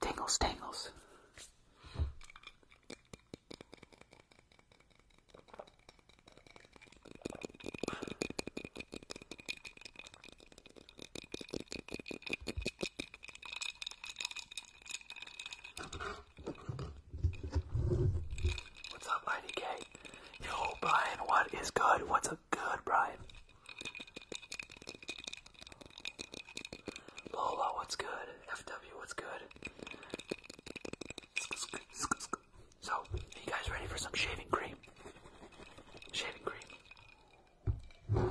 Tingles, tangles. What's up, IDK? Yo, Brian, what is good? What's good, Brian. Lola, what's good? FW, what's good? So, you guys ready for some shaving cream? Shaving cream.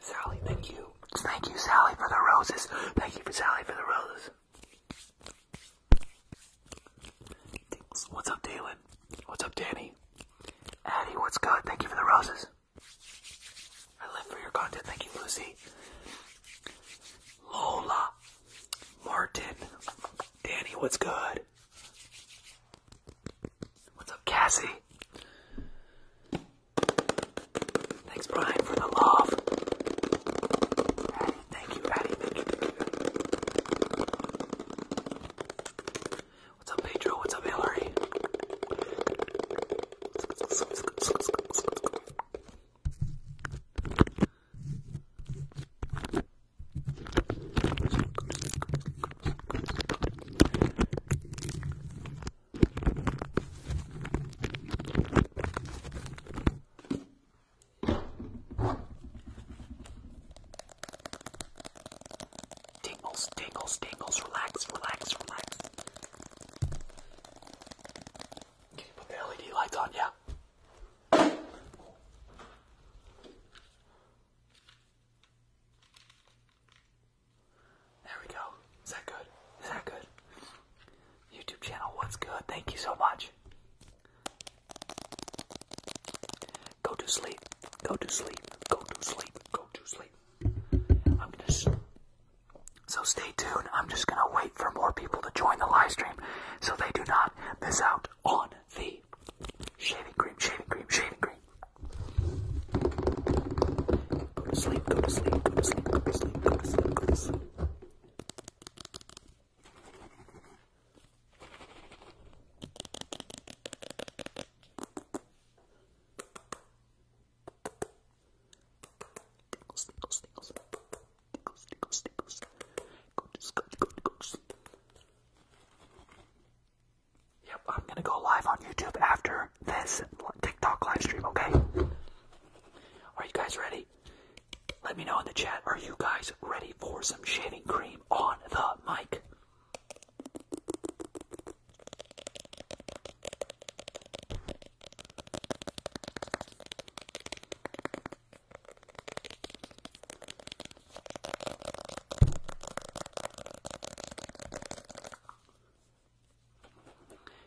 Sally, thank you. Thank you, Sally, for the roses. Thank you, for Sally, for the roses. What's up, Dalen? What's up, Danny? Addie, what's good? Thank you for the roses. I live for your content. Thank you, Lucy. Lola. Martin. Danny, what's good? What's up, Cassie? Thanks, Brian, for the love. thank you, Addie. thank you. What's up, Pedro? What's up, Hillary? Tingles, tingles, tingles. Relax, relax, relax. Can you put the LED lights on? Yeah. There we go. Is that good? Is that good? YouTube channel, what's good? Thank you so much. Go to sleep. Go to sleep. Go to sleep. Go to sleep. I'm gonna. So stay tuned. I'm just gonna wait for more people to join the live stream, so they do not miss out on the shaving cream. Shaving cream. Shaving cream. Go to sleep. Go to sleep. Go to sleep. Go to sleep. Go to sleep. Go to sleep. Go to sleep. Yep, I'm gonna go live on YouTube after this TikTok live stream, okay? Are you guys ready? Let me know in the chat. Are you guys ready for some shaving cream on the mic?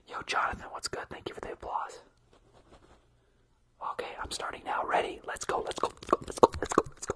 Yo, Jonathan, what's good? Thank you for the applause. Okay, I'm starting now. Ready? Let's go. Let's go. Let's go. Let's go. Let's go.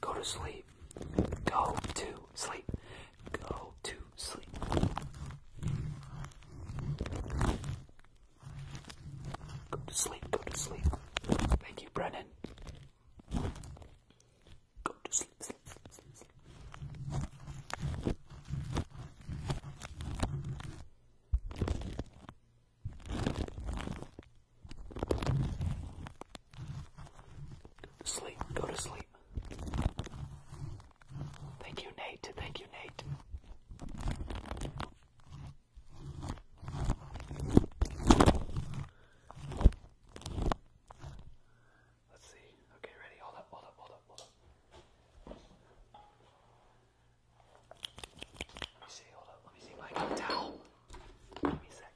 Go to sleep. Go to sleep. Go to sleep. Go to sleep. Go to sleep. Thank you, Brennan. Go to sleep. sleep. Sleep, go to sleep. Thank you, Nate. Thank you, Nate. Let's see. Okay, ready. Hold up, hold up, hold up, hold up. Let me see, hold up. Let me see if towel. Give me a sec.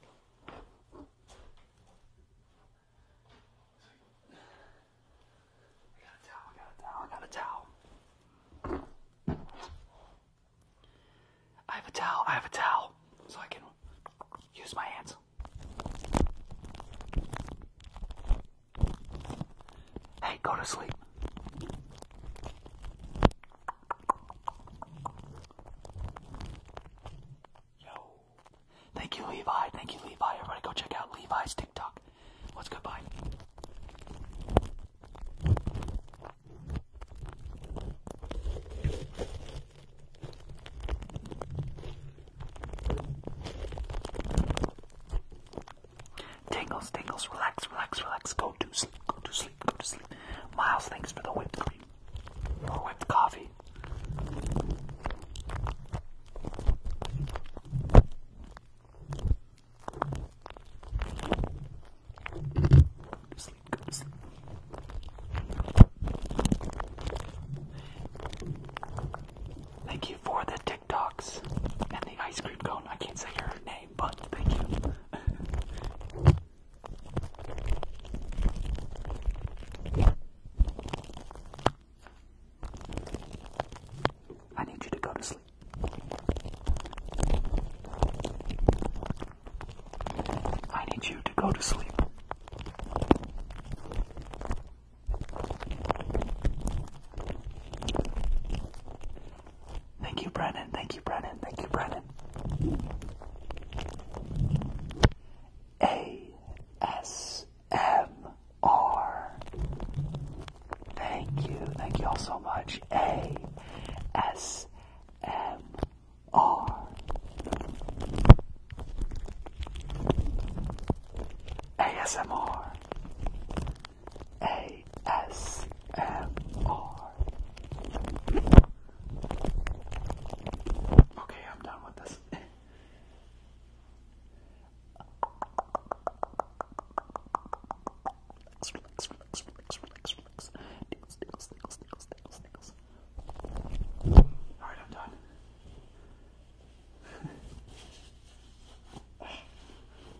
I got a towel, I got a towel, I got a towel. I have a towel, I have a towel, so I can use my hands. Hey, go to sleep. Yo. Thank you, Levi. Thank you, Levi. Everybody go check out Levi's TikTok. What's good, bye. Tingles, tingles, relax, relax, relax. Go to sleep, go to sleep, go to sleep. Miles, thanks for the whipped cream. Or whipped coffee. Go to sleep, go to sleep. Thank you for the TikToks and the ice cream cone. I can't say her name, but thank you. I need you to go to sleep. I need you to go to sleep. Thank you, Brennan. Thank you, Brennan. Thank you, Brennan. A S M R. Thank you. Thank you all so much. A S M R. asmr ASMR. Okay, I'm done with this. relax, relax, relax, relax, relax, relax. Alright, I'm done.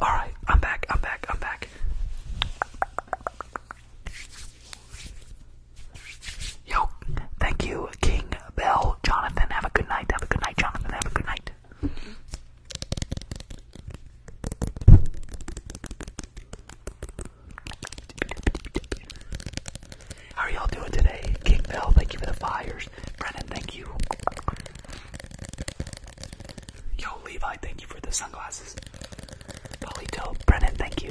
Alright, I'm back, I'm back, I'm back. Yo, thank you, King Bell, Jonathan. Have a good night, have a good night, Jonathan. Have a good night. How are y'all doing today? King Bell, thank you for the fires. Brennan, thank you. Yo, Levi, thank you for the sunglasses. Polito, Brennan, thank you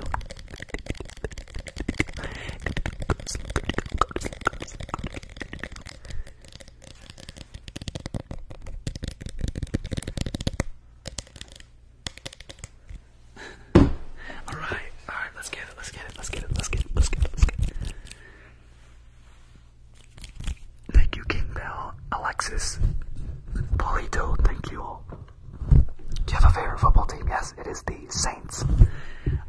alright, alright, let's get it, let's get it, let's get it, let's get it, let's get it, let's get it. Thank you, King Bell, Alexis, Polito, thank you all. Do you have a favorite football team? Yes, it is the Saints.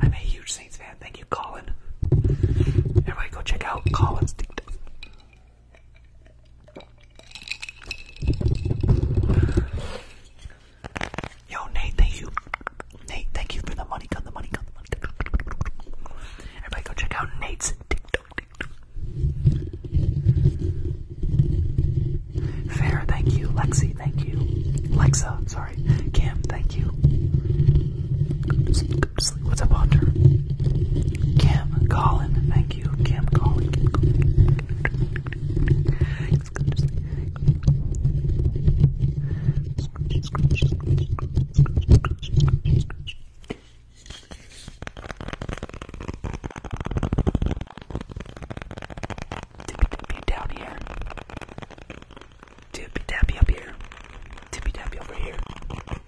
I'm a huge Saints fan. Thank you, Colin. Everybody go check out Colin's TikTok. Yo, Nate, thank you. Nate, thank you for the money gun, the money gun, the money gun. Everybody go check out Nate's TikTok. Fair, thank you. Lexi, thank you. Lexa, sorry. Cam, thank you. What's up, Hunter? Cam, Colin, thank you. Cam, Colin, Cam, Colin. Tippy down here. Tippy tappy up here. Tippy tappy over here.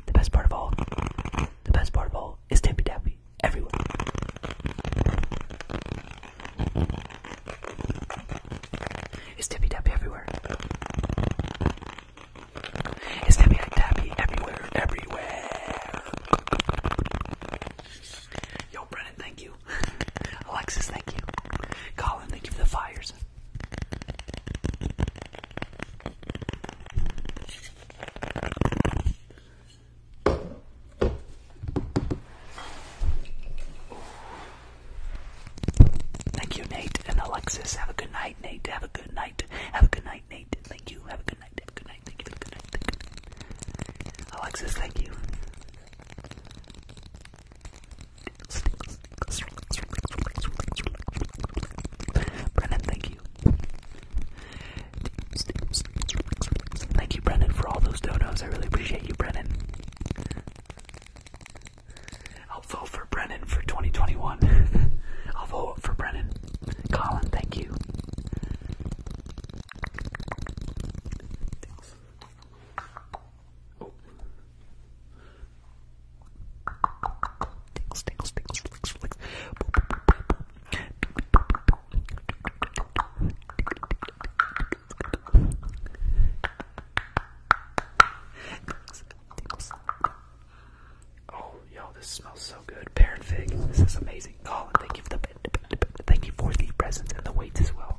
The best part of all. The best part of all is tippy tappy everyone. It's tippy tappy everywhere. It's tippy tappy everywhere, everywhere. Yo, Brennan, thank you. Alexis, thank you. Colin, thank you for the fires. Thank you, Nate and Alexis. Have a good night, Nate. Have a good night. Have a good night, Nate. Thank you. Have a good night. Have a good night. Thank you. Have a good night. Alexis, thank you. Brennan, thank you. Thank you, Brennan, for all those donuts. I really appreciate you, Brennan. I'll vote for Brennan for 2021. I'll vote for Brennan. Colin, thank you. Oh, yo, this smells so good. Pear and fig. This is amazing. Colin, oh, thank thank you for the presents and the weights as well.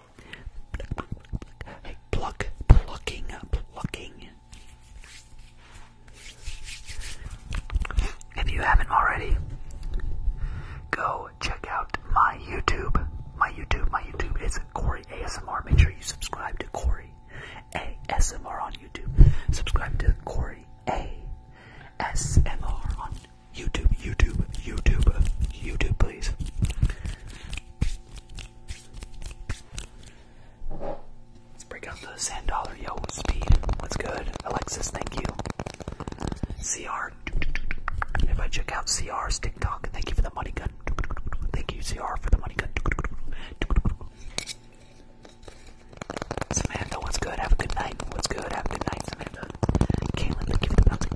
pluck, plucking, plucking. If you haven't already, go check out my YouTube. My YouTube, my YouTube is Corey ASMR. Make sure you subscribe to Corey ASMR on YouTube. Subscribe to Corey ASMR on YouTube. YouTube, YouTube, YouTube, YouTube, please. Let's break out the sand dollar. Yo, speed. What's good? Alexis, thank you. CR. If I check out CR's TikTok, thank you for the money gun. Thank you, CR, for the money gun. Samantha, what's good? Have a good night. What's good? Have a good night, Samantha. Caitlin, thank you for the bouncing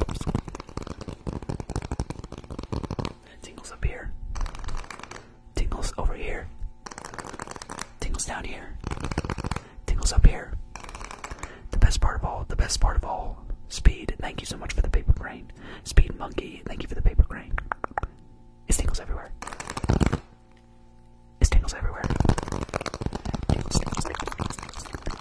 Tingles up here. Tingles over here. Tingles down here. Tingles up here. The best part of all, the best part of all, Speed, thank you so much for the paper crane. Speed Monkey, thank you for the paper crane. It's tingles everywhere. It's tingles everywhere. tingles, tingles, tingles,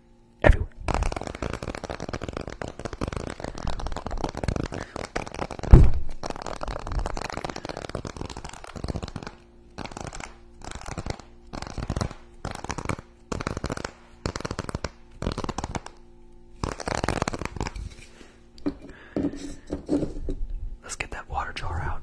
everywhere. Let's get that water jar out.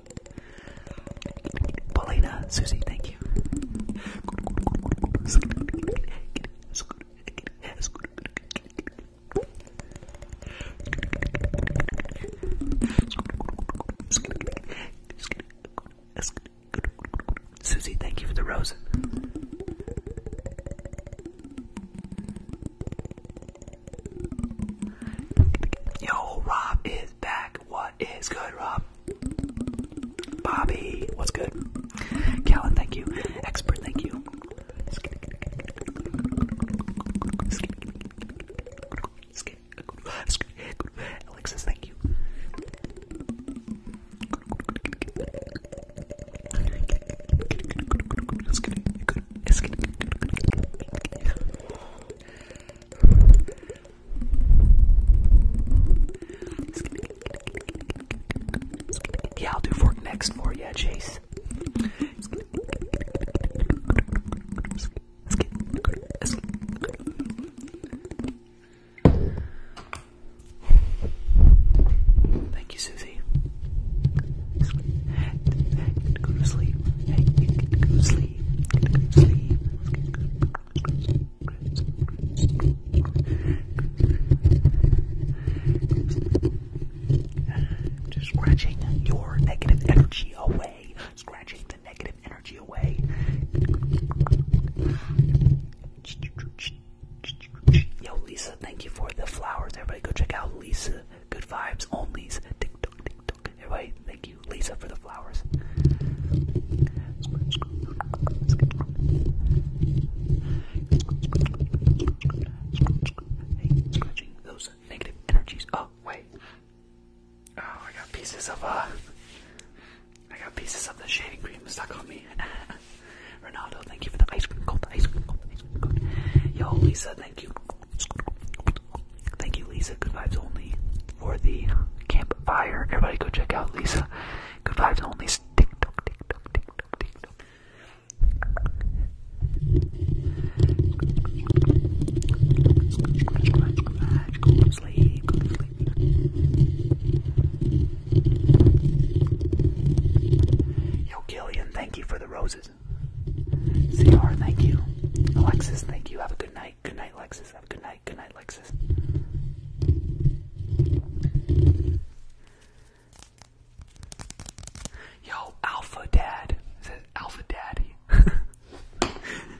Paulina, Susie, thank you. Susie, thank you for the rose. Yo, Rob is back. What? What is good, Rob? Bobby, what's good? Callan, thank you. Expert, thank you. Alexis, thank you. Yeah, I'll do fork next for you, Chase. Thank you, Susie. go to sleep. Go to sleep. Just scratching your negative energy away. Scratching the negative energy away. Yo, Lisa, thank you for the flowers. Everybody go check out Lisa Good Vibes Only's TikTok. Anyway, thank you, Lisa, for the flowers. Hey, those negative energies Oh, Oh, I got pieces of, uh, I got pieces of the shaving cream stuck on me. Ronaldo, thank you for the ice cream cold, ice cream cold, ice cream cold. Yo, Lisa, thank you. Thank you, Lisa. Good vibes only for the campfire. Everybody go check out Lisa. Good vibes only. TikTok, TikTok, TikTok, TikTok. Go to sleep. Go to sleep. Yo, Gillian, thank you for the roses. CR, thank you. Alexis, thank you. Have a good night. Good night, Lexus. good night. Good night, Lexus. Yo, Alpha Dad. Alpha Daddy.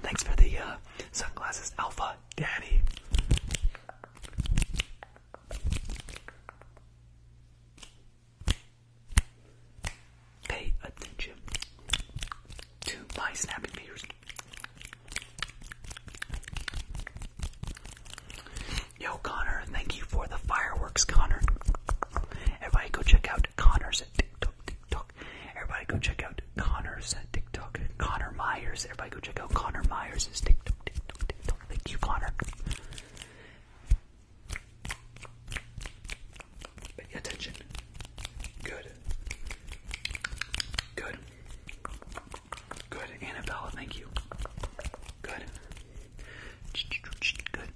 Thanks for the uh, sunglasses, Alpha Daddy. Pay attention to my snapping fingers. Yo, Connor, thank you for the fireworks, Connor. Everybody go check out Connor's at TikTok, TikTok. Everybody go check out Connor's at TikTok. Connor Myers, everybody go check out Connor Myers' TikTok, TikTok, TikTok. Thank you, Connor. Pay attention. Good. Good. Good, Annabella, thank you. Good. Good. Good.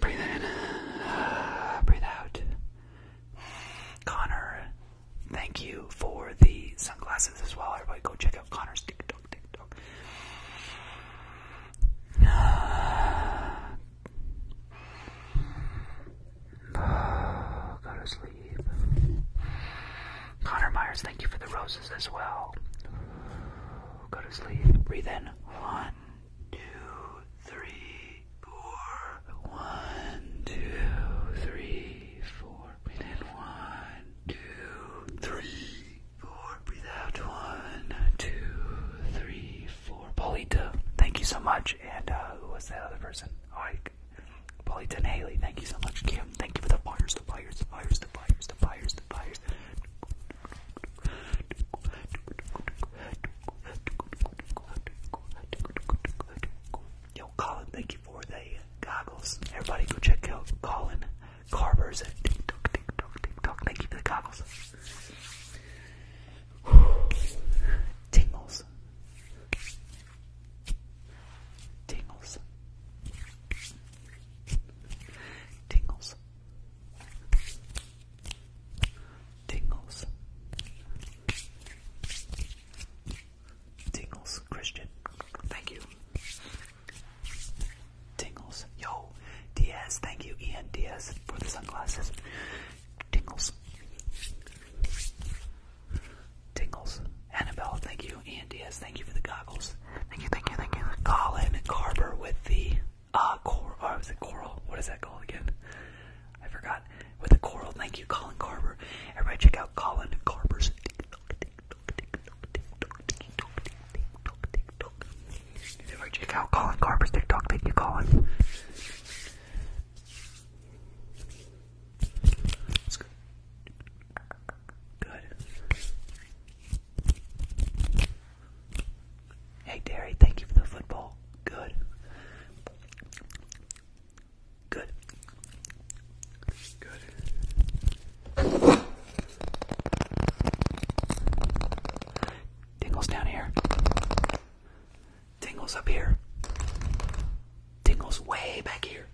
Breathe in. breathe out. Connor, thank you for the sunglasses as well. Everybody go check like a Connor's tick tock, go to sleep. Connor Myers, thank you for the roses as well. Go to sleep. Breathe in. One, two, three, four. One, two, three, four. Breathe in one, two, three, four. Breathe out one, two, three, four. Polita, thank you so much. And uh, who was that other person? Oh, I, and Haley, thank you so much. Kim, thank you for the fires, the fires, the fires, the fires, the fires, the fires. Yo, Colin, thank you for the goggles. Everybody go check out Colin Carver's TikTok, TikTok, TikTok. Thank you for the goggles. Tingles. Tingles. Tingles. Tingles. Tingles. Christian. Thank you. Tingles. Yo, Diaz, thank you, Ian Diaz, for the sunglasses. Tingles. Tingles. Annabelle, thank you. Ian Diaz, thank you for the goggles. Thank you, thank you, thank you. Colin Carver with the uh coral or uh, is it coral? What is that called again? I forgot. With the coral, thank you, Colin Carver. Everybody check out Colin Carver's you ever check out Colin Carper's TikTok? Thank you, Colin. That's good. Good. Hey, Derry, thank you for the football. Good. Good. Good. Tingles down here. Tingles up here. Tingles way back here.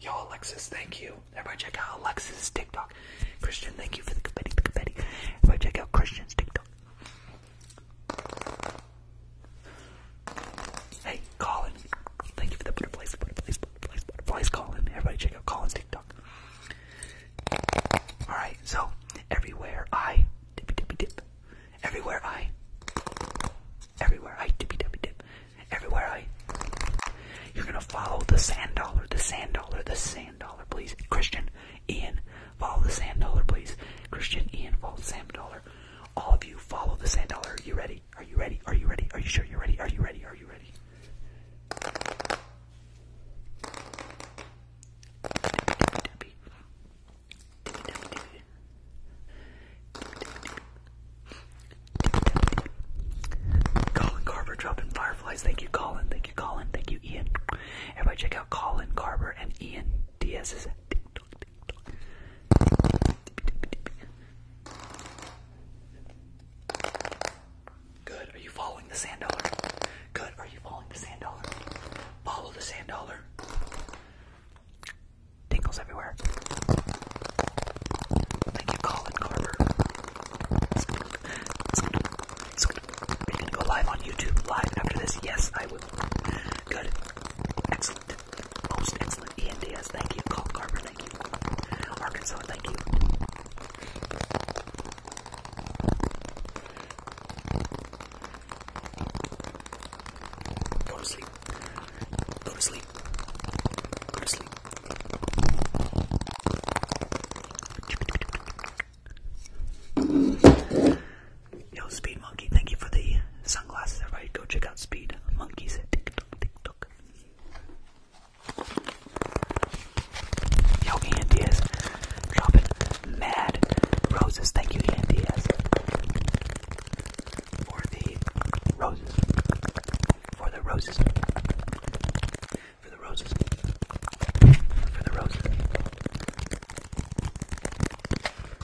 Yo, Alexis, thank you. Everybody check out Alexis' TikTok. Christian, thank you for the confetti, the confetti. Everybody check out Christian's TikTok. Hey, Colin. Thank you for the butterflies, butterflies, butterflies, butterflies, Colin. Everybody check out Colin's TikTok. Alright, so everywhere I dippy dippy dip. Everywhere I everywhere I dippy dippy dip. Everywhere I You're gonna follow the sand dollar, the sand dollar, the sand dollar, please. Christian, Ian, follow the sand dollar, please. Christian, Ian, follow the sand dollar. All of you follow the sand dollar. Are you ready? Are you ready? Are you ready? Are you sure you're ready? Are you ready? Are you ready? Colin Carver dropping fireflies. Thank you, Colin. Thank you, Colin. Thank you, Ian. Everybody check out Colin Carver and Ian Diaz's Good. Are you following the sand dollar? Good. Are you following the sand dollar? Follow the sand dollar. Tingles everywhere. Thank you, Colin Carver. Are gonna go live on YouTube live after this? Yes, I will. Good. Excellent. Most excellent. Ian Diaz, thank you. Cole Carver, thank you. Arkansas, thank you. Go to sleep. Go to sleep. Go to sleep. Yo, Speed Monkey, thank you for the sunglasses. Everybody, go check out Speed Monkey's TikTok. TikTok. Yo, Ian Diaz, dropping mad roses. Thank you, Ian Diaz, for the roses. For the roses. For the roses. For the roses.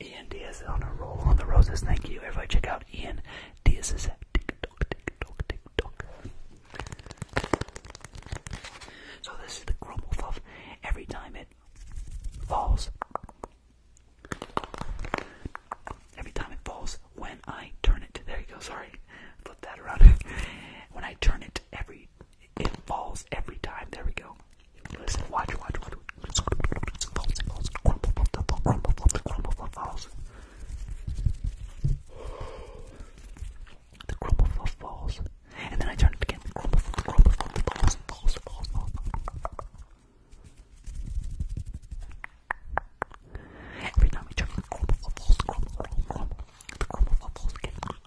Ian Diaz on a roll on the roses. Thank you. Everybody check out Ian Diaz's TikTok, TikTok, TikTok. So this is the crumble Every time it falls, every time it falls, when I turn it, there you go. Sorry, flip that around. when I turn it, every it falls every time. There we go. Listen, watch, watch, watch. It falls, falls. Crumble, crumble, falls. The crumble falls. And then I turn it again. crumble crumble falls, falls, falls, Every time we turn it, crumble falls, crumble, crumble, The crumble falls again.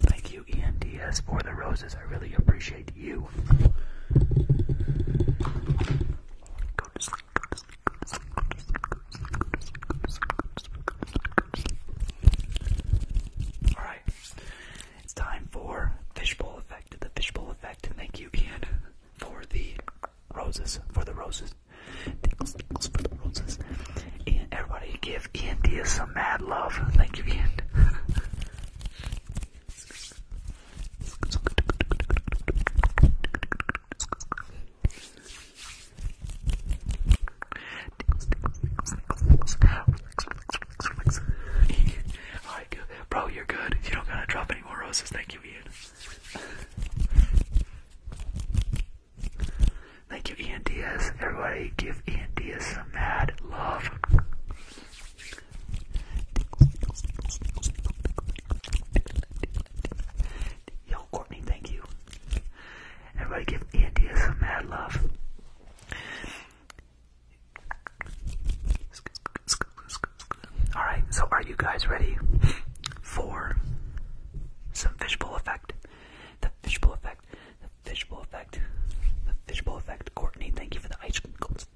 Thank you, Ian for the roses. I really appreciate you. Go to sleep, go to sleep, go to sleep, go to sleep, go to sleep, go to sleep, go to sleep, Alright. It's time for Fishbowl Effect, the Fishbowl Effect. Thank you, Ian, for the roses, for the roses. Tingles, tingles for the roses. And everybody give give Ian Diaz some mad love. Thank you, Ian. Alright, Bro, you're good. You don't gotta drop any more roses. Thank you, Ian. Thank you, Ian Diaz. Everybody, give Ian Diaz some mad love. Yo, Courtney, thank you. Everybody give India some mad love. Alright, so are you guys ready for some fishbowl effect? The fishbowl effect effect, the fishbowl effect, the fishbowl effect. Courtney, thank you for the ice cream cones.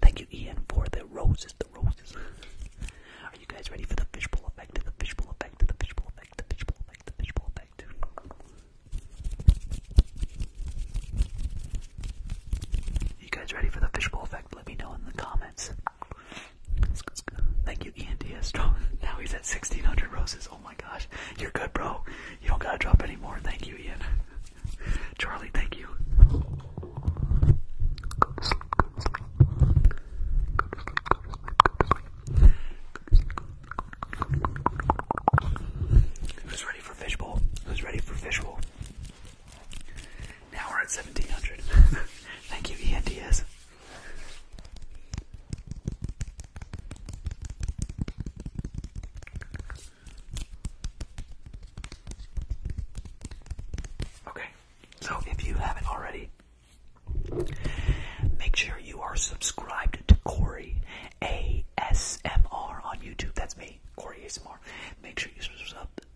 Thank you, Ian, for the roses, the roses. Are you guys ready for the fishbowl effect? The fishbowl effect, the fishbowl effect, the fishbowl effect, the fishbowl effect. The fishbowl effect. you guys ready for the fishbowl effect? Let me know in the comments. Thank you, Ian Diaz. Strong. Now he's at 1600 roses. Oh my gosh. You're good, bro. You don't gotta drop any more. Thank you, Ian. Charlie, thank you. Who's ready for fishbowl? Who's ready for fishbowl? Now we're at 1700. Thank you, Ian Diaz. Okay, so if you haven't already, make sure you are subscribed to Corey ASMR on YouTube. That's me, Corey ASMR. Make sure you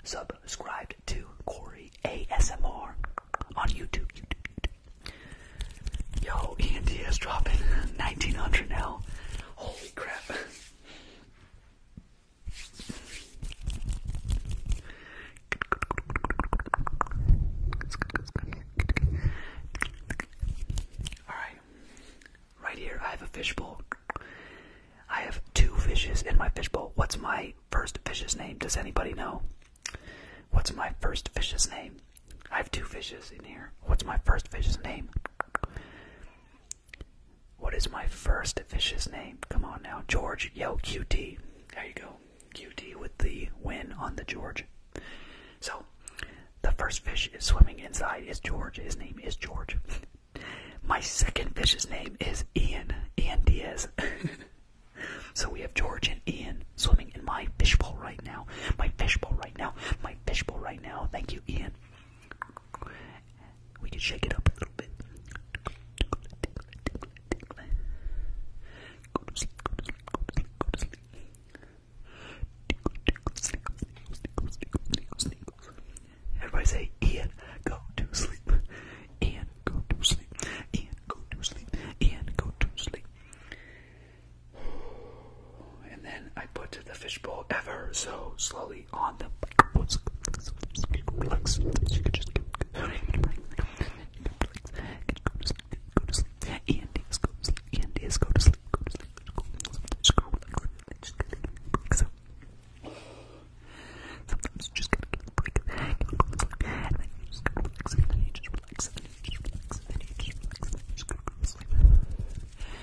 sub subscribed to Corey ASMR on YouTube. Yo, ENT dropping 1900 now crap. Alright. Right here, I have a fishbowl. I have two fishes in my fishbowl. What's my first fish's name? Does anybody know? What's my first fish's name? I have two fishes in here. What's my first fish's name? What is my first fish's name? Come on now. George, yo, QT. There you go. QT with the win on the George. So, the first fish is swimming inside is George. His name is George. My second fish's name is Ian. Ian Diaz. so we have George and Ian swimming in my fishbowl right now. My fishbowl right now. My fishbowl right now. Thank you, Ian. We can shake it up a little bit. Everybody say, Ian, go to sleep. Ian, go to sleep. Ian, go to sleep. Ian, go to sleep. And then I put the fishbowl ever so slowly on the relax. You can just go to sleep. And go to sleep. And go to sleep. Go to sleep. Just go relax. So sometimes you just gotta get a break. And then you just gotta relax. And then you just relax. And then you just relax. And then you just relax. And then you just go to sleep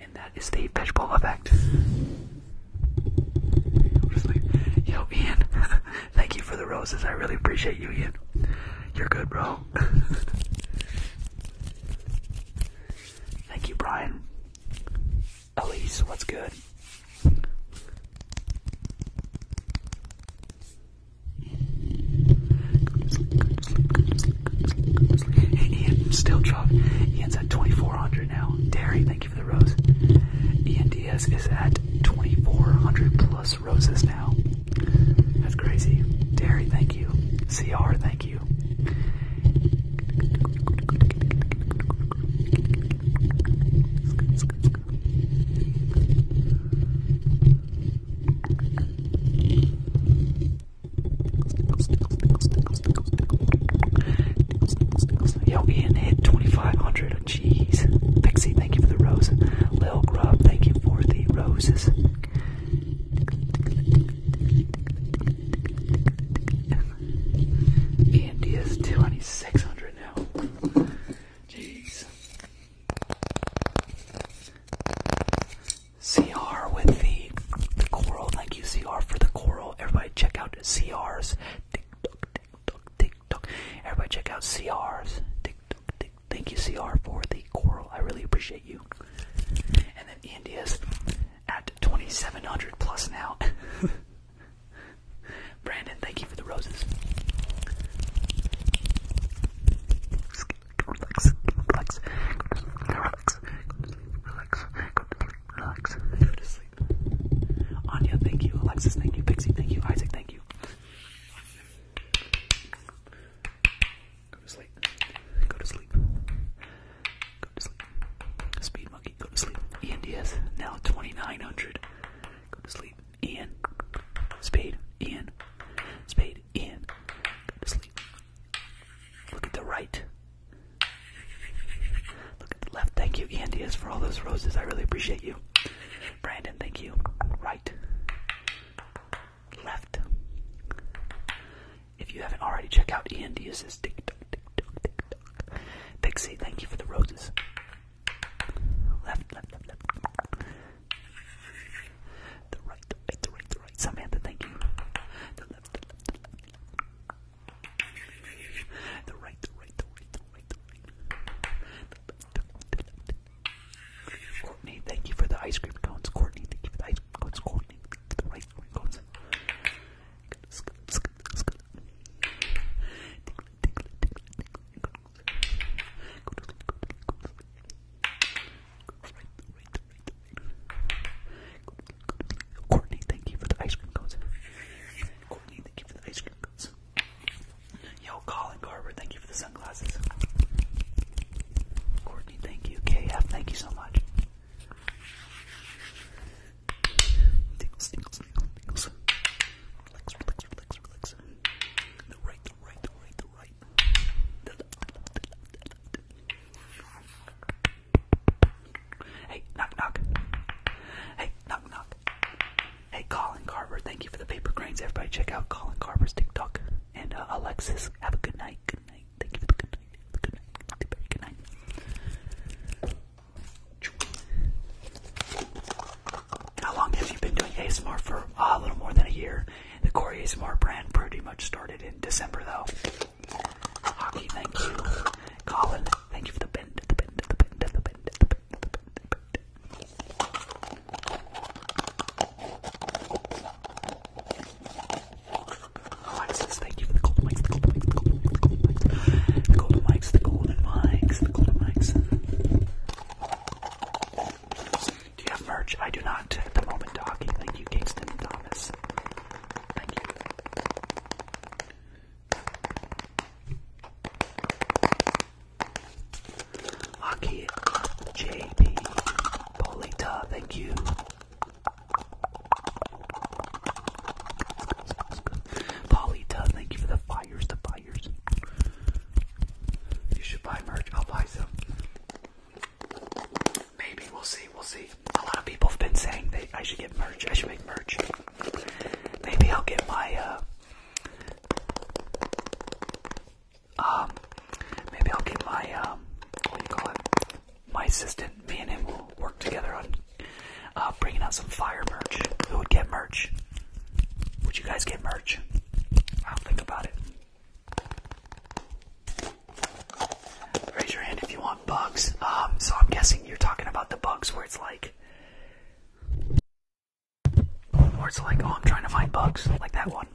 and that is the vegetable effect. yo, Ian, thank you for the roses. I really appreciate you, Ian. You're good, bro. thank you, Brian. Elise, what's good? Go to Ian, still drop. Ian's at 2,400 now. Derry, thank you for the rose. Ian Diaz is at 2,400 plus roses now. That's crazy. Derry, thank you. CR, thank you. Yo, Ian hit 2,500. Jeez. Pixie, thank you for the roses. Lil Grub, thank you for the roses. Ian is 2,600 now. Jeez. CR with the, the coral. Thank you, CR, for the coral. Everybody check out CR's. Tick tock, tick tock, tick tock. Everybody check out CR's. Tick tock, tick. Thank you, CR, for the coral. I really appreciate you. And then India's at 2,700 plus now. Brandon, thank you for the roses relax, relax, relax, relax, relax, go to sleep. Anya, thank you. Alexis, thank you. Pixie, thank you. Isaac, thank you. Go to sleep. Go to sleep. Go to sleep. Speed monkey, go to sleep. Ian Diaz, now 2900. Go to sleep. Ian. Spade. Ian. Spade in. Go to sleep. Look at the right. Look at the left. Thank you, Andy, as for all those roses. I really appreciate you. Brandon, thank you. Right. Left. If you haven't already, check out Andius's TikTok, TikTok, TikTok. Pixie, thank you for the roses. Left, left, left, left. The right, the right, the right, the right. Samantha, thank you. The left, the left, the left. The right, the right, the right, the right, the right. The left, the left, the left. Courtney, thank you for the ice cream cones. Courtney, thank you for the ice cream cones. Courtney, the right cones. Courtney, thank you for the ice cream cones. Courtney, thank you for the ice cream cones. Yo, Colin Garber, thank you for the sunglasses. Courtney, thank you. KF, thank you so much. The right, the right, the right, the right. Hey, knock knock. Hey, knock knock. Hey, Colin Carver, thank you for the paper cranes. Everybody check out Colin Carver's TikTok. And uh, Alexis, have a good night. Good night. Thank you good night. good night. good night. How long have you been doing ASMR for? Uh, a little more than a year. The Corey Smart brand pretty much started in December, though. Hockey, thank you. Colin, thank you for the bend, the bend, thank you for the golden mics, the golden mics. The golden mics. Do you have merch? I do not at the moment, Talking. Thank you, Kingston and Thomas. Thank you. Hockey JP Polita, thank you. Polita, thank you for the fires, the fires. You should buy merch. I'll buy some. Maybe we'll see. We'll see. A lot of people have been saying they I should get merch. I should make merch. Maybe I'll get my uh, um. Maybe I'll get my um. What do you call it? My assistant. Me and him will work together on uh, bringing out some fire merch. Who would get merch? Would you guys get merch? I'll think about it. Raise your hand if you want bugs. Um, so I'm guessing you're talking about the bugs where it's like, where it's like, oh, I'm trying to find bugs, like that one.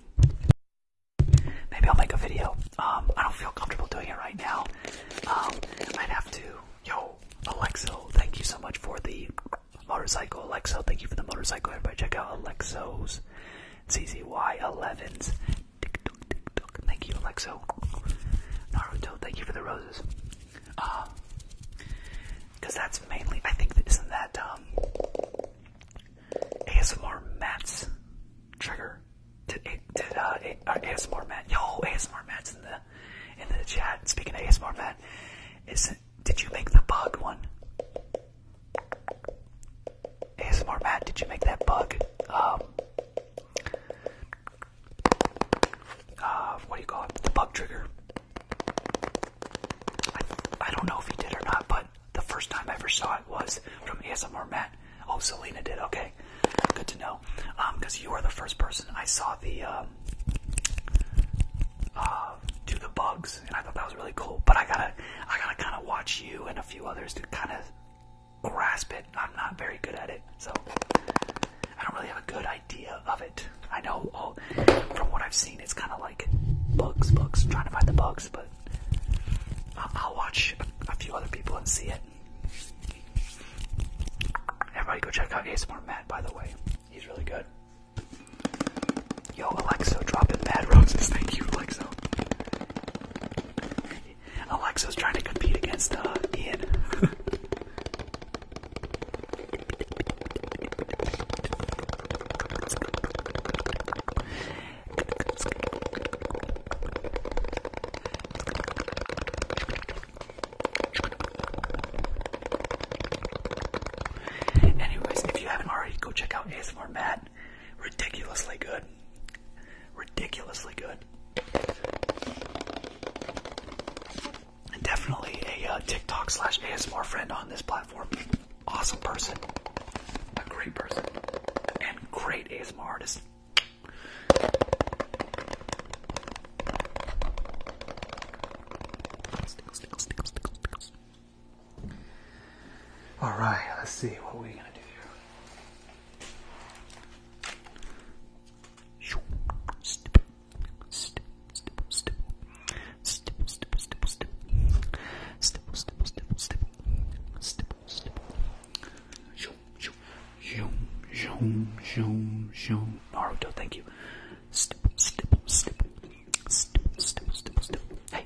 Maybe I'll make a video. Um, I don't feel comfortable doing it right now. Um, I'd have to. Yo, Alexo, thank you so much for the motorcycle. Alexo, thank you for the motorcycle. Everybody, check out Alexo's ZZY11s. Thank you, Alexo. Naruto, thank you for the roses. because uh, that's mainly, I think, isn't that um, ASMR mats trigger? Did, did uh, ASMR uh, Matt? Yo, ASMR mats in the in the chat. Speaking of ASMR Matt, is did you make the bug one? ASMR Matt, did you make that bug? Um, uh, what do you call it? The bug trigger. I, don't know if he did or not, but the first time I ever saw it was from ASMR Matt. Oh, Selena did. Okay, good to know. because um, you are the first person I saw the um, uh, do the bugs and I thought that was really cool. But I gotta, I gotta kind of watch you and a few others to kind of grasp it. I'm not very good at it, so I don't really have a good idea of it. I know all, oh, from what I've seen, it's kind of like bugs, bugs, trying to find the bugs. But I'll watch a few other people and see it. Everybody, go check out ASMR Matt. By the way, he's really good. Yo, Alexo, dropping bad roses. Thank you, Alexo. is trying to compete against uh, Ian. Anyways, if you haven't already, go check out ASMR Matt. Ridiculously good. Ridiculously good. definitely a uh, TikTok ASMR friend on this platform. Awesome person. A great person. And great ASMR artist. Stickles, stickles, stickles, stickles, stickles. All right, let's see what we're we gonna do here. Step, step, step, step, step, step, step, step, step, step, step, step, step, step. Zoom, zoom, zoom, zoom. Naruto, thank you. Step, step, step, step, step, step, step. Hey,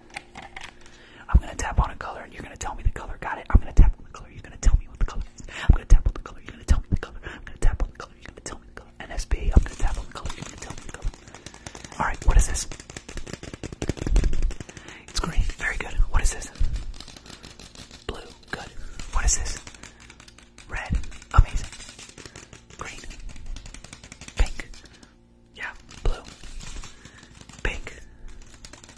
I'm gonna tap on a color and you're gonna tell me the color. Got it? I'm gonna tap on the color. You're gonna tell me what the color is. I'm gonna tap on the color. You're gonna tell me the color. I'm gonna tap on the color. You're gonna tell me the color. NSB. I'm gonna tap on the color. You're gonna tell me the color. All right. What is this? It's green. Very good. What is this? Blue. Good. What is this? Red. Amazing. Green. Pink. Yeah. Blue. Pink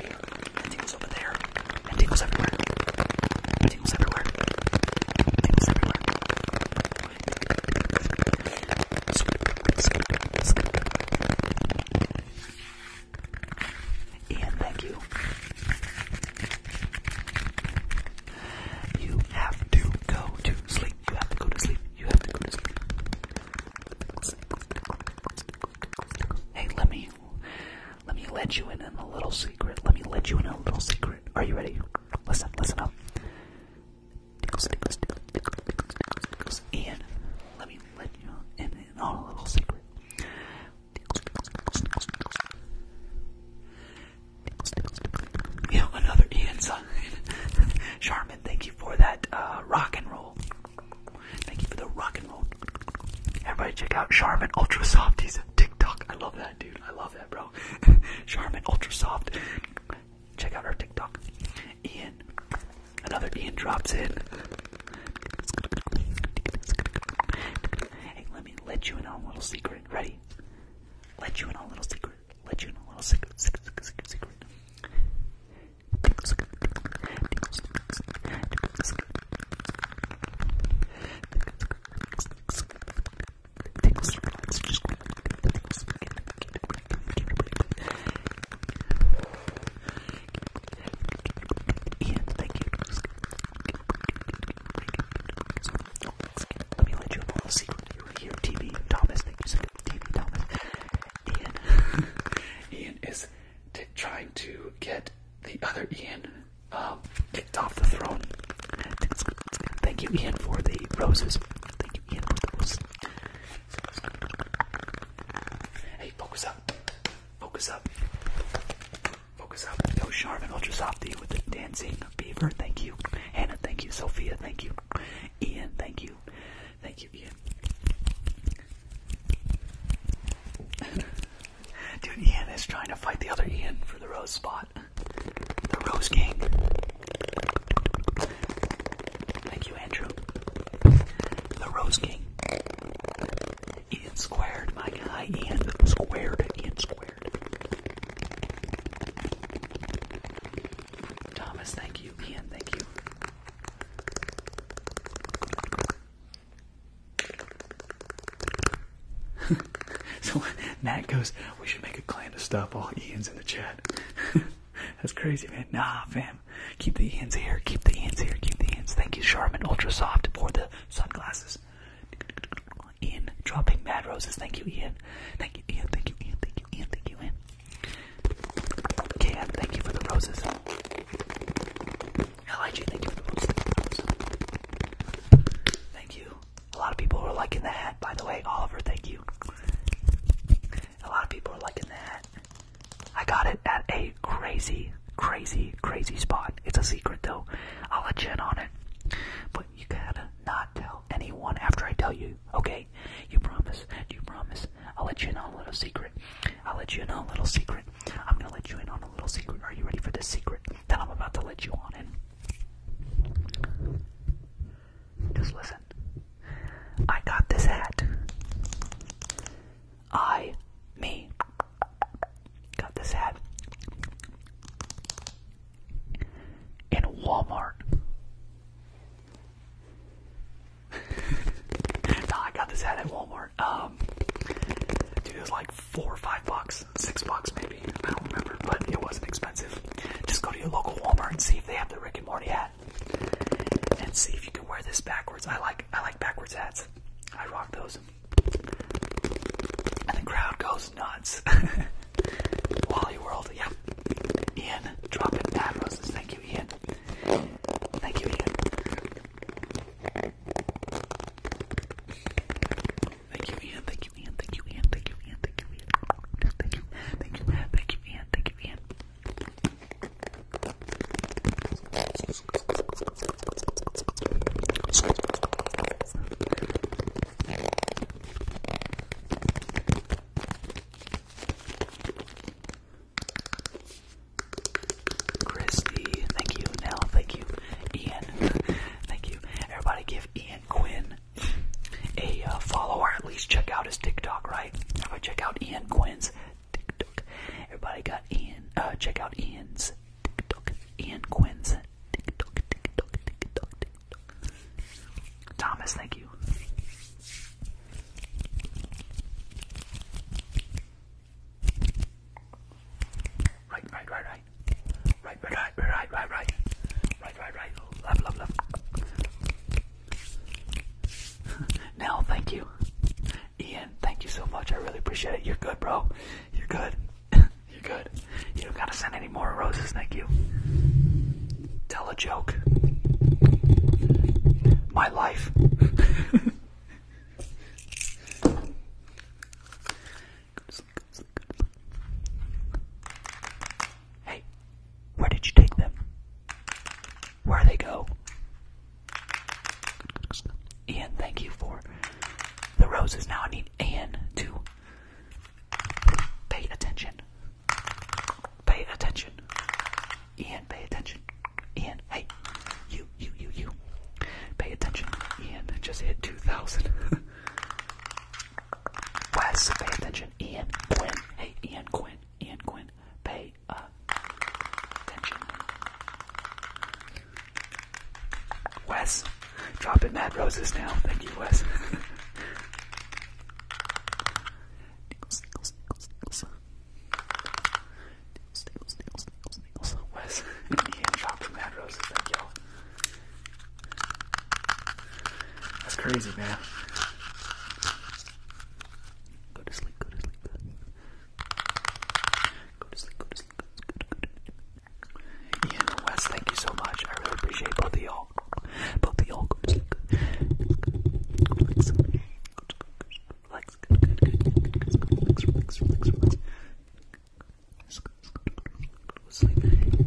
and tingles over there, and tingles everywhere. And everywhere. And everywhere. Ian, thank you. You have to go to sleep. You have to go to sleep. You have to go to sleep. Hey, let me let me let you in in a little secret. Let me let you in a little secret. Are you ready? Listen, listen up. Ian, let me let you in on a little secret. You know, another Ian song. Charmin, thank you for that rock and roll. Thank you for the rock phone. Everybody check out Charmin Ultra Soft. He's a TikTok. I love that dude. I love that bro. Charmin Ultra Soft. Check out our TikTok. Ian. Another Ian drops in. Hey, let me let you in on a little secret. Ready? Let you in on a little secret. Let you in on a little secret. Secret, secret, secret, secret thank you. Let me let you a little secret. You were here, TB Thomas. Thank you so Thomas. Ian, Ian is trying to get the other Ian um, off the throne. Thank you, Ian, for the roses. Thank you, Ian, for the roses. Hey, focus up. Focus up. Focus up. Go Charmin Ultra Softy with the dancing beaver. Thank you. Hannah, thank you. Sophia, thank you. Ian, thank you. Thank you, Ian. Dude, Ian is trying to fight the other Ian for the rose spot. The Rose King. Thank you, Andrew. The Rose King. Ian squared, my guy. Ian squared. Ian squared. Thomas, thank you. Ian, thank you. so Nat goes, we should make a clan to stop all Ian's in the chat. That's crazy, man. Nah, fam. Keep the Ian's here. Keep the Ian's here. Keep the Ian's. Thank you, Charmin Ultra Soft, for the sunglasses. Ian dropping mad roses. Thank you, Ian. Thank you, Ian. Thank you, Ian. Thank you, Ian. Thank you, Ian. Cam, thank you for the roses. I like you for the Thank you. A lot of people are liking that. by the way. Oliver, thank you. A lot of people are liking that. I got it at a crazy, crazy, crazy spot. It's a secret, though. I'll let you in on it. But you gotta not tell anyone after I tell you, okay? You promise? You promise? I'll let you in on a little secret. I'll let you in on a little secret. I'm gonna let you in on a little secret. Are you ready for this secret that I'm about to let you on in? Just listen. I got this hat. I, me, got this hat in Walmart. no, I got this hat at Walmart. Um, dude, it like four or five bucks, six bucks maybe. I don't remember, but it wasn't expensive. Just go to your local Walmart and see if they have the Rick and Morty hat, and see if you can wear this backwards. I like I like backwards hats. I rock those, and the crowd goes nuts. Wally World, yeah. Ian, dropping in bad roses. Thank you, Ian. Thank you, Ian. Thank you, Ian. Thank you, Ian. Thank you, Ian. Thank you, Ian. Thank you, Ian. Thank you, thank you, thank you, Ian. Thank you, Ian. Christy, thank you. Nell, thank you. Ian, Thank you. Everybody give Ian Quinn a uh, follower. at least check out his TikTok, right? Everybody check out Ian Quinn's TikTok. Everybody got Ian, uh, check out Ian's TikTok. Ian Quinn's TikTok, TikTok, TikTok, TikTok. Thomas, thank you. Right, right, right, right. Right, right, right, right, right, right. Right, right, right. Left, left, left. Nell, thank you. Ian, thank you so much. I really appreciate it. You're good, bro. You're good. You're good. You don't gotta send any more roses, thank you. Tell a joke. My life. Hey, where did you take them? Where they go? Ian, thank you for the roses. Now I need Ian to pay attention. Pay attention. Ian, pay attention. Ian, hey, you, you, you, you. Pay attention. Ian just hit 2,000. Wes, pay attention. Ian Quinn. Hey, Ian Quinn. Ian Quinn. Pay attention. Wes, dropping mad roses now. Thank you, Wes. Nickels, nickels, nickels, nickels. Nickels, nickels, nickels, Jackson Nicholson and Ian Thank y'all. That's crazy, man. Go to sleep, go to sleep, go to sleep. Go to sleep, go to sleep, Ian and Wes, thank you so much. I really appreciate both of y'all. Both of y'all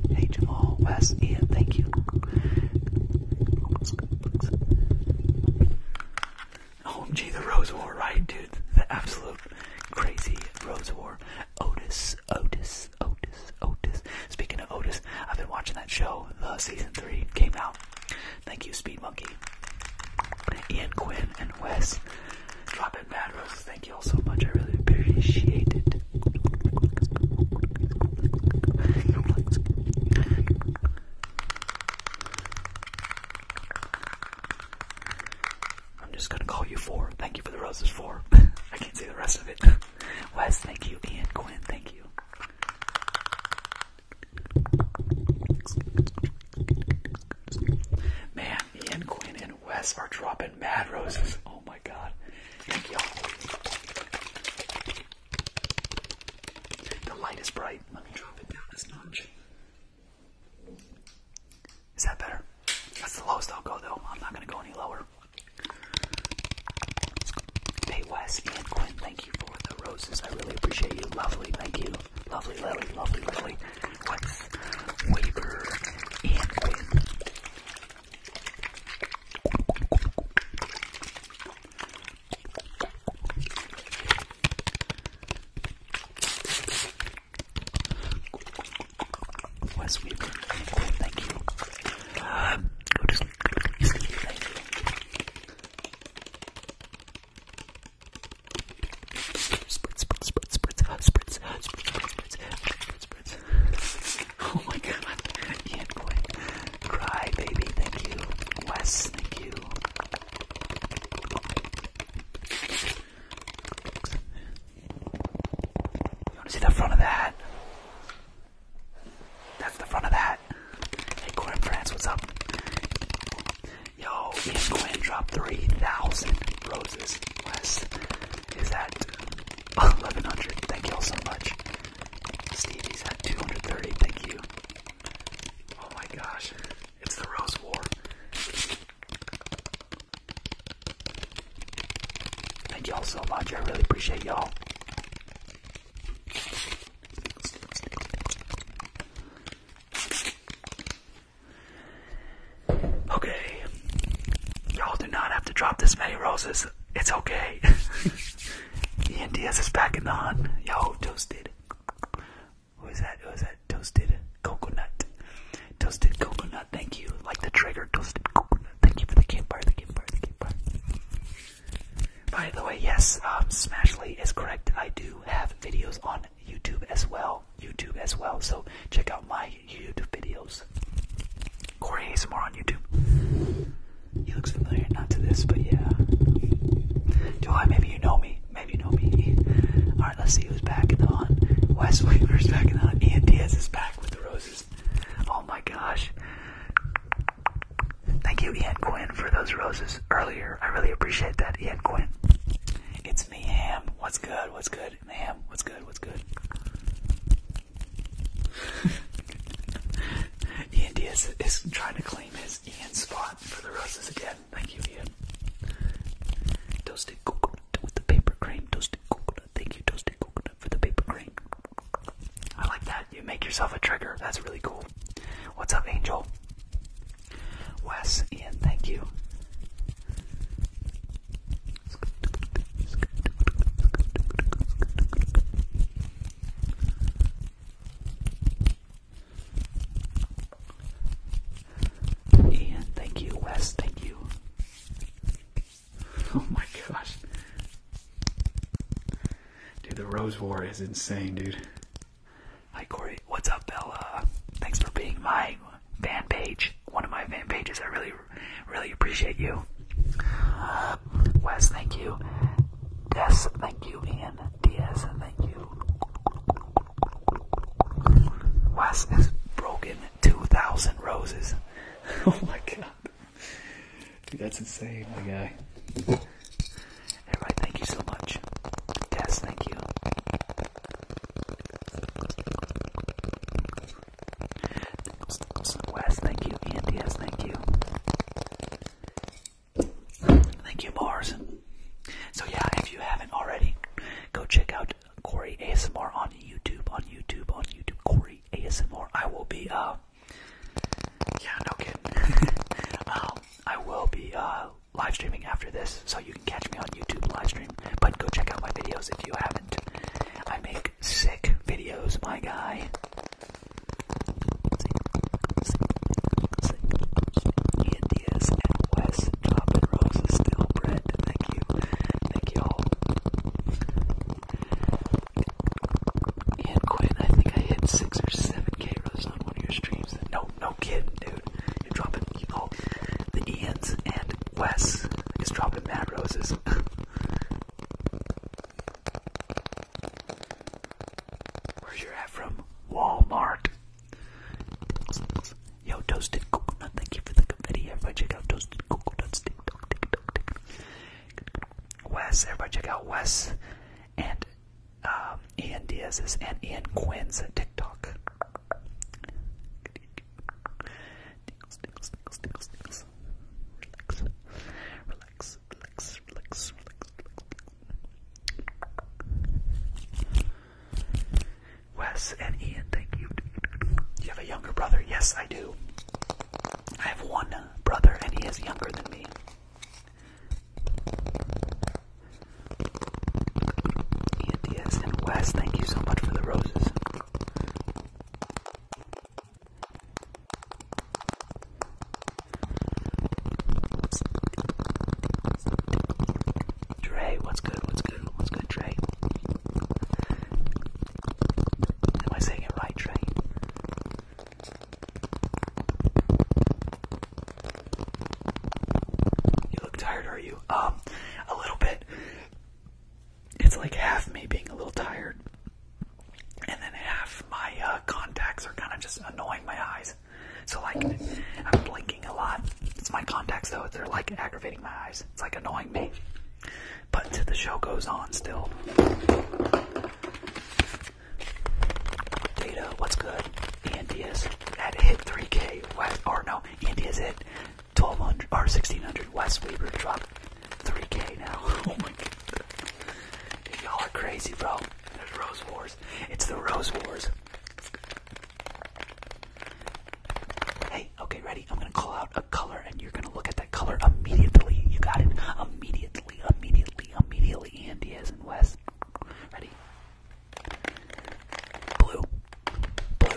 Hey Jamal, Wes, Ian, thank you. Oh, gee, the Rose War, right, dude? The absolute crazy Rose War. Otis, Otis, Otis, Otis. Speaking of Otis, I've been watching that show. The season three came out. Thank you, Speed Monkey. Ian Quinn and Wes. Drop it, Mad Roses. Thank you all so much. I really appreciate it. I'm just gonna call you four. Thank you for the roses, four. I can't say the rest of it. Wes, thank you. Ian, Quinn, thank you. Man, Ian, Quinn, and and Wes are dropping mad roses. Oh my god. Thank y'all. The light is bright. Let me drop it down this notch. Is that better? That's the lowest I'll go though. I'm not gonna go any lower. Hey Wes and Quinn, thank you for the roses. I really appreciate you. Lovely, thank you. Lovely Lily, lovely Lily. Thomas, Weaver, and Quinn. Wes Weaver, thank you. Uh, go to sleep, go to sleep, thank you. Oh my god, I can't Quinn. Cry, baby, thank you. Wes, thank you. You wanna see the front of that? That's the front of that. Hey, Corin France, what's up? Yo, Ian Quinn drop 3,000 roses. Wes, is at 1100. Thank you all so much. Stevie's at 230. Thank you. Oh my gosh. It's the Rose War. Thank y'all so much. I really appreciate y'all. Okay. Y'all do not have to drop this many roses. It's okay. Ian Diaz is back in the hunt. Yo, toasted. Who is that? Who is that? Toasted coconut. Toasted coconut. Thank you. Like the trigger. Toasted coconut. Thank you for the campfire. The campfire. The campfire. By the way, yes, um, Smashly is correct. I do have videos on YouTube as well. YouTube as well. So check out my YouTube videos. Corey ASMR on YouTube. He looks familiar, not to this, but yeah. July, maybe you know me. Maybe you know me. Alright, let's see who's back in the hunt. Wes Weaver's back in the hunt. Ian Diaz is back with the roses. Oh my gosh. Thank you, Ian Quinn, for those roses earlier. I really appreciate that, Ian Quinn. It's me, Ham. What's good? What's good? good, ma'am? What's good? What's good? Ian Diaz is trying to claim his Ian spot for the roses again. Thank you, Ian. Toasted coconut with the paper crane. Toasted coconut. Thank you, toasted coconut, for the paper crane. I like that. You make yourself a trigger. That's really cool. What's up, Angel? Wes, Ian, thank you. Ian, thank you. Wes, thank you. Oh my gosh. Dude, the Rose War is insane, dude. Hi, Cory. What's up, Bella? Thanks for being my fan page, one of my fan pages. I really, really appreciate you. Wes, thank you. Des, thank you. And Diaz, thank you. Wes has broken 2,000 roses. oh my god. Dude, that's insane, my guy. Everybody, thank you so much. Des, thank you. Wes, thank you. Andy, yes, thank you. Thank you, Mars. So yeah, if you haven't already, go check out Corey ASMR on YouTube, on YouTube, on YouTube. Corey ASMR. I will be, uh, yeah, no kidding. um, I will be uh, live streaming after this, so you can catch me on YouTube live stream. But go check out my videos if you haven't. I make sick, videos, my guy. India's and West dropping roses still bread. Thank you. Thank you all. Ian Quinn, I think I hit six or seven K on one of your streams. No, no kidding, dude. You're dropping all the Ian's and Wes is dropping mad roses. Where's your hat from? Walmart. Yo, toasted coconut. Thank you for the confetti. Everybody check out toasted coconuts. Tick tock, tick tock, tick. Wes, everybody check out Wes and uh, Ian Diaz's and Ian Quinn's TikTok. Wes and Ian, thank you. You have a younger brother? Yes, I do. I have one brother and he is younger than me. Ian Diaz and Wes, thank you so much for the roses. Dre, what's good? What's good? What's good, Dre? Am I saying it right, Dre? You look tired, are you? Um, a little bit it's like half me being a little tired, and then half my uh, contacts are kind of just annoying my eyes. So like I'm blinking a lot. It's my contacts though. They're like aggravating my eyes. It's like annoying me. But the show goes on still. Data, what's good? Andy at hit 3K. What? no, Andy is 1200 or 1600 West Weber dropped 3k now. oh my god. Y'all are crazy, bro. There's Rose Wars. It's the Rose Wars. Hey, okay, ready? I'm gonna call out a color and you're gonna look at that color immediately. You got it? Immediately, immediately, immediately. And Diaz and West. Ready? Blue. Blue,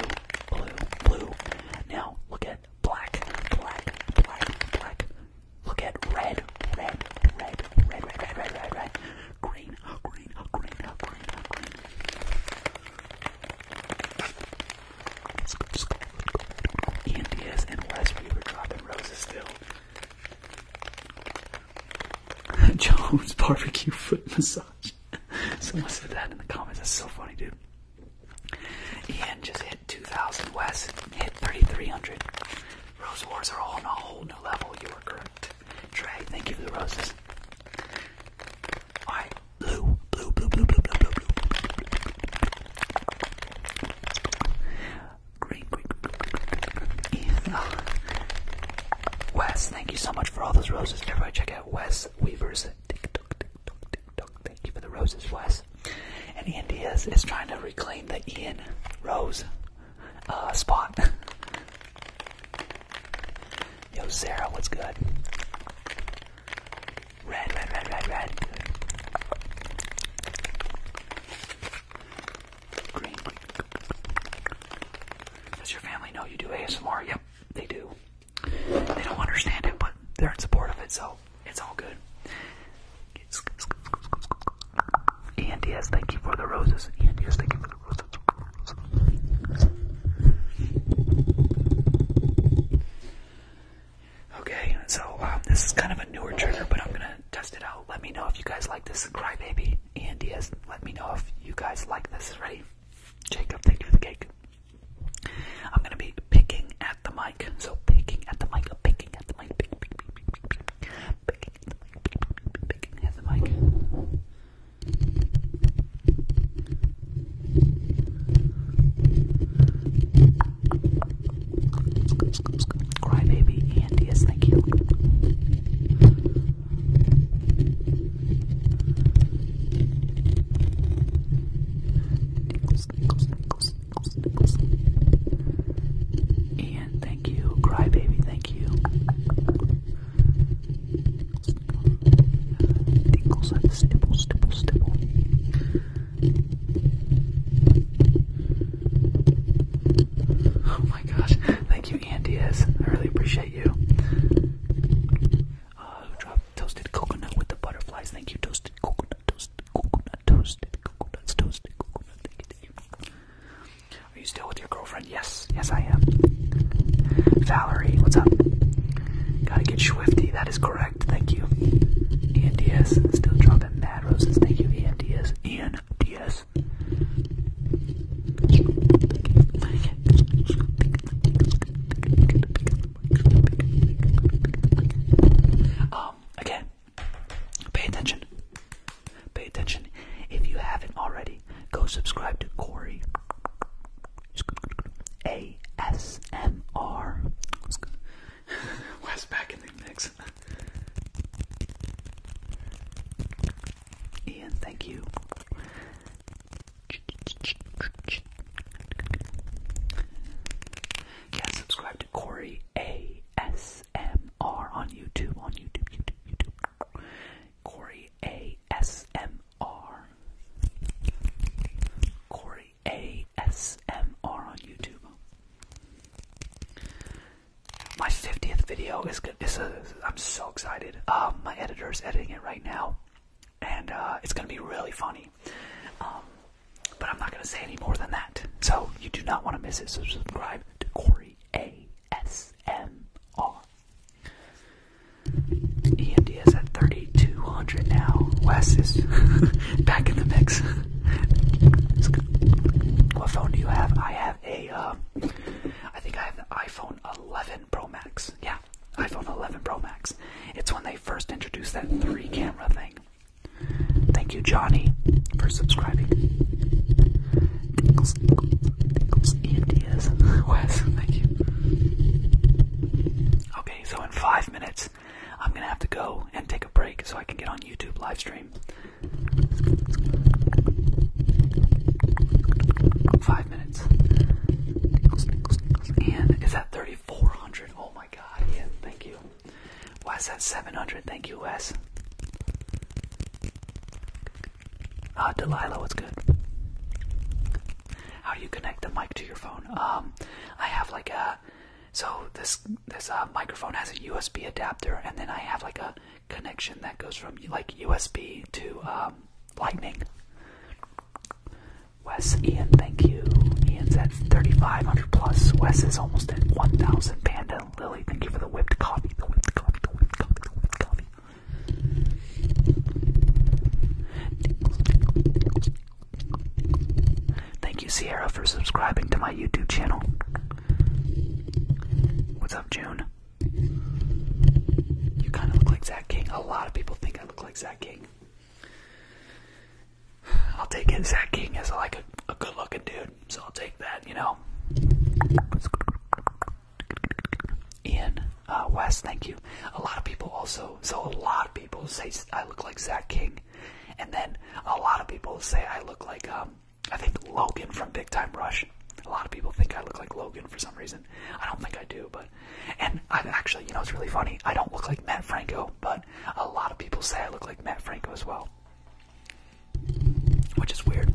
blue, blue. Now, look at at black, black, black, black. Look at red, red, red, red, red, red, red, red, red. Green, green, green, green, green. Let's go, let's go, let's go. Ian Diaz and Wes Weaver dropping roses still. Jones barbecue foot massage. Someone said that in the comments. That's so funny, dude. Ian just hit 2,000. Wes hit 3,300. Rose Wars are all on a whole new level. You were correct. Trey, thank you for the roses. Alright, blue, blue, blue, blue, blue, blue, blue, blue. Green, green, green, green. Oh. Wes, thank you so much for all those roses. Everybody check out Wes Weaver's TikTok, TikTok, thank you for the roses, Wes. And Ian Diaz is trying to reclaim the Ian Rose uh, spot. Yo, Sarah, what's good? Red, red, red, red, red. Green. Does your family know you do ASMR? Yep, they do. They don't understand it, but they're in support of it, so it's all good. Ian Diaz, thank you for the roses. Ian Diaz, thank you for the roses. Okay, so um, this is kind of a newer trigger, but I'm gonna test it out. Let me know if you guys like this. Crybaby, Ian Diaz, let me know if you guys like this. Ready? Jacob, thank you for the cake. I'm gonna be picking at the mic. So picking at the mic, picking at the mic, picking, at the mic, Crybaby and yes, thank you. Ian, thank you. Crybaby, thank you. Nichols, Nichols, stipple, stipple, Oh my gosh. Thank you, Andy. I really appreciate you. Uh, Toasted coconut with the butterflies. Thank you. Toasted coconut. Toasted coconut. Toasted coconuts. Toasted coconut. Thank you. Thank you. Are you still with your girlfriend? Yes. Yes, I am. Valerie, what's up? Gotta get swifty. That is correct. Thank you. Ian Diaz, still dropping mad roses. Thank you, Ian Diaz. Ian Diaz. Um, again, pay attention. Pay attention. If you haven't already, go subscribe to Corey ASMR. West back in the mix. Ian, thank you. Yeah, subscribe to Corey ASMR on YouTube. On YouTube, YouTube, YouTube. Corey ASMR. Corey ASMR on YouTube. My 50th video is good. This is i I'm so excited. Um, my editor is editing it right now, and uh, it's gonna be really funny. Um, but I'm not going to say any more than that. So you do not want to miss it. So subscribe to Corey ASMR. EMD is at 3,200 now. Wes is back in the mix. what phone do you have? I have a. Um, I think I have the iPhone 11 Pro Max. Yeah, iPhone 11 Pro Max. It's when they first introduced that three camera thing. Thank you, Johnny, for subscribing. Tinkles, Wes, thank you. Okay, so in five minutes, I'm gonna have to go and take a break so I can get on YouTube live Five minutes. And is that 3,400? Oh my god, yeah, thank you. Why is that 700. Thank you, Wes. Ah, Delilah, what's good? How do you connect the mic to your phone? Um, I have like a so this this uh, microphone has a USB adapter, and then I have like a connection that goes from like USB to um, Lightning. Wes, Ian, thank you. Ian's at 3,500 plus. Wes is almost at 1,000. Panda, Lily, thank you for the whipped coffee. The whipped coffee, Thank you, Sierra, for subscribing to my YouTube channel. What's up, June? You kind of look like Zach King. A lot of people think I look like Zach King. I'll take it. Zach King is like a, good looking dude, so I'll take that, you know. Ian uh, West, thank you. A lot of people also, so a lot of people say I look like Zach King, and then a lot of people say I look like, um, I think Logan from Big Time Rush. A lot of people think I look like Logan for some reason. I don't think I do, but and I've actually, you know, it's really funny. I don't look like Matt Franco, but a lot of people say I look like Matt Franco as well, which is weird.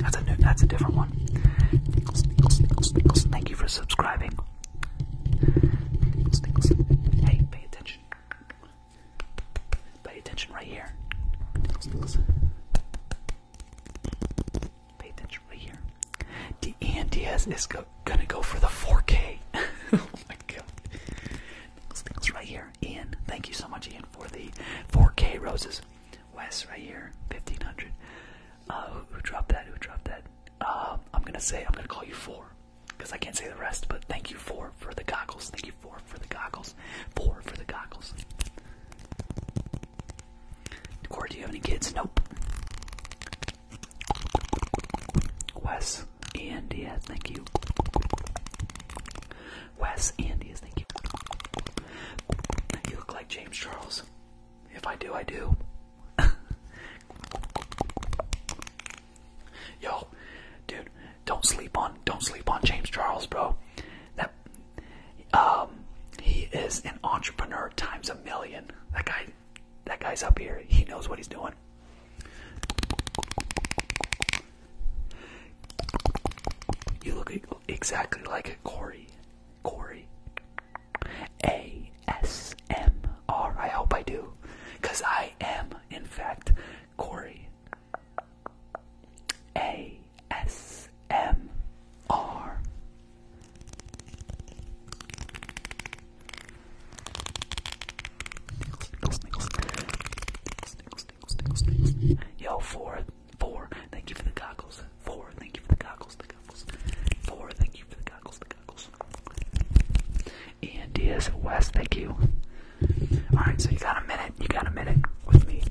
That's a that's a different one. Thank you for subscribing. Hey, pay attention. Pay attention right here. Pay attention right here. D Ian is go gonna go for the 4K. oh my god. Nichols, Nichols right here. Ian, thank you so much, Ian, for the 4K roses. Wes right here, 1500. Uh, who, dropped that? Who dropped that? Um, I'm gonna say, I'm gonna call you four. Because I can't say the rest, but thank you four for the goggles. Thank you four for the goggles. Four for the goggles. Corey, do you have any kids? Nope. Wes and Diaz, thank you. Wes and Diaz, thank you. You look like James Charles. If I do, I do. Yo, dude, don't sleep on don't sleep on James Charles, bro. That um he is an entrepreneur times a million. That guy that guy's up here. He knows what he's doing. You look exactly like a Corey. Corey. A S M R. I hope I do. Because I am, in fact, Corey. A S M R. Nickels, nickels, nickels, nickels, nickels, Yo, four, four, thank you for the goggles. Four, thank you for the goggles, the goggles. Four, thank you for the goggles, the goggles. Ian Diaz, West, thank you. Alright, so you got a minute, you got a minute with me.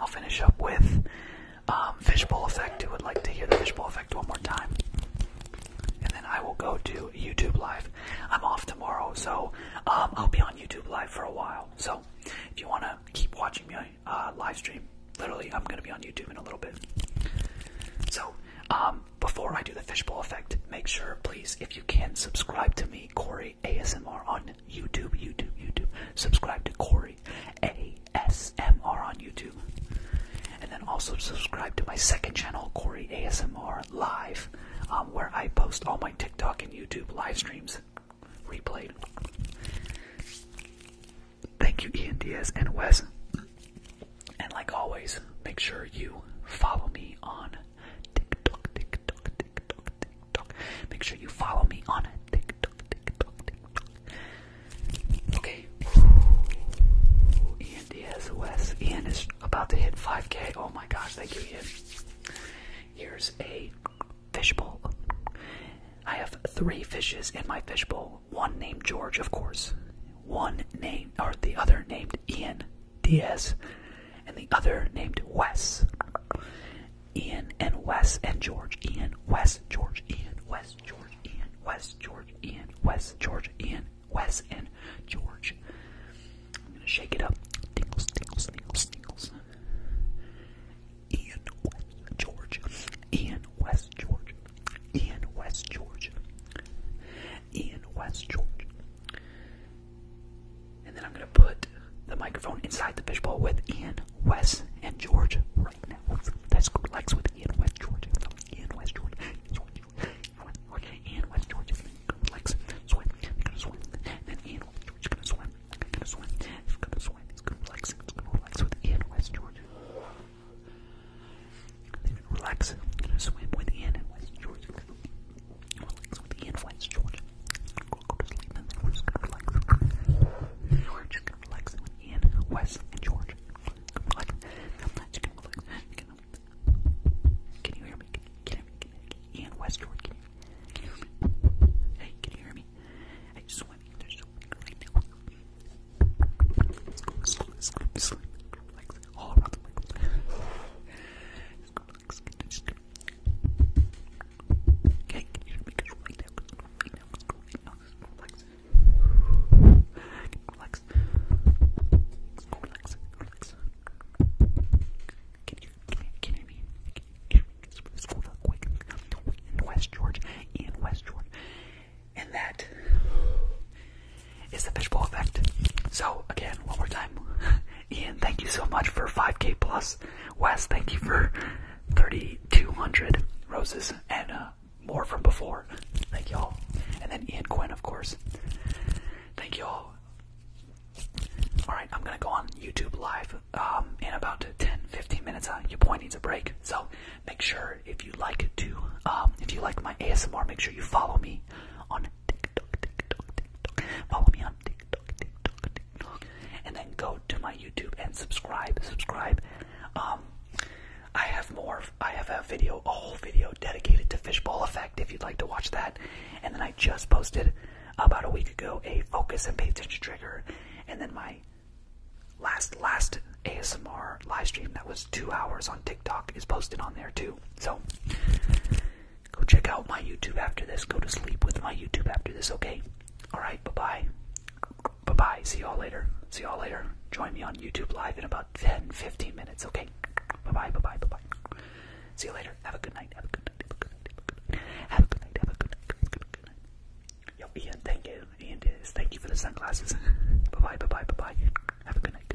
I'll finish up with um, Fishbowl Effect. Who would like to hear the Fishbowl one more time. And then I will go to YouTube Live. I'm off tomorrow, so um, I'll be on YouTube Live for a while. So if you want to keep watching me uh, live stream, literally, I'm going to be on YouTube in a little bit. So um, before I do the fishbowl effect, make sure, please, if you can, subscribe to me, Corey ASMR, on YouTube, YouTube, YouTube. Subscribe to Corey ASMR on YouTube. And then also subscribe to my second channel, Corey ASMR Live, um, where I post all my TikTok and YouTube live streams replayed. Thank you, Ian Diaz and Wes. And like always, make sure you follow me on TikTok, TikTok, TikTok, TikTok. Make sure you follow me on TikTok, TikTok, TikTok. Okay, Ian Diaz West. Ian is about to hit 5K. Oh my gosh, thank you, Ian. Here's a fishbowl. I have three fishes in my fishbowl. One named George, of course. One named, or the other named Ian Diaz, and the other named Wes. Ian and Wes and George. Ian, Wes, George, Ian, Wes, George, Ian, Wes, George, Ian, Wes, George, Ian. Wes and George. I'm gonna shake it up. Tingles, tingles, tingles, tingles. Ian West George. Ian West George. Ian West George. Ian West George. And then I'm gonna put the microphone inside the fishbowl with Ian West and George right now. That's Lex with Ian West George. Ian West George. George. Okay, and West Georgia gonna relax, swim, gonna swim, and then Ian West gonna swim, gonna swim, gonna swim, he's gonna relax, he's gonna relax with Ian West Georgia. relax, gonna swim with Ian and West Georgia. with Ian West Georgia. Go, go to sleep, and then we're just gonna relax. we gonna relax with Ian, West, and Georgia. Relax, relax, relax, relax. Can you hear me? Can you hear me? Ian Westwood, can you, hear me? Hey, can you hear me? Hey, swimming, there's swimming right now. Let's go, let all around the microphone. let go, let go, let Okay, can you hear me? Because right now, right now, right now, right now, right now, right relax. Relax, relax, Can you, can you, can you me? Can you hear me? School real quick. West George, in West George. And that is the fishbowl effect. So, again, one more time. Ian, thank you so much for 5k plus. West, thank you for 3,200 roses and uh, more from before. Thank y'all. And then Ian Quinn, of course. Thank you all. Alright, I'm gonna go on YouTube Live um, in about 10 15 minutes. Uh, your boy needs a break. So make sure if you like to, um, if you like my ASMR, make sure you follow me on TikTok, TikTok, TikTok. Follow me on TikTok, TikTok, TikTok. And then go to my YouTube and subscribe, subscribe. Um, I have more, I have a video, a whole video dedicated to fishbowl effect if you'd like to watch that. And then I just posted about a week ago a focus and pay attention trigger. And then my last last ASMR live stream that was two hours on TikTok is posted on there too. So go check out my YouTube after this. Go to sleep with my YouTube after this, okay? Alright, bye-bye. Bye-bye. See y'all later. See y'all later. Join me on YouTube Live in about 10, 15 minutes, okay? Bye bye, bye bye, bye bye. See you later. Have a good night. Have a good night. Have a good night. Have a good night. Yo, Ian, thank you. Ian thank you for the sunglasses. bye bye, bye bye, bye bye. Have a Good night.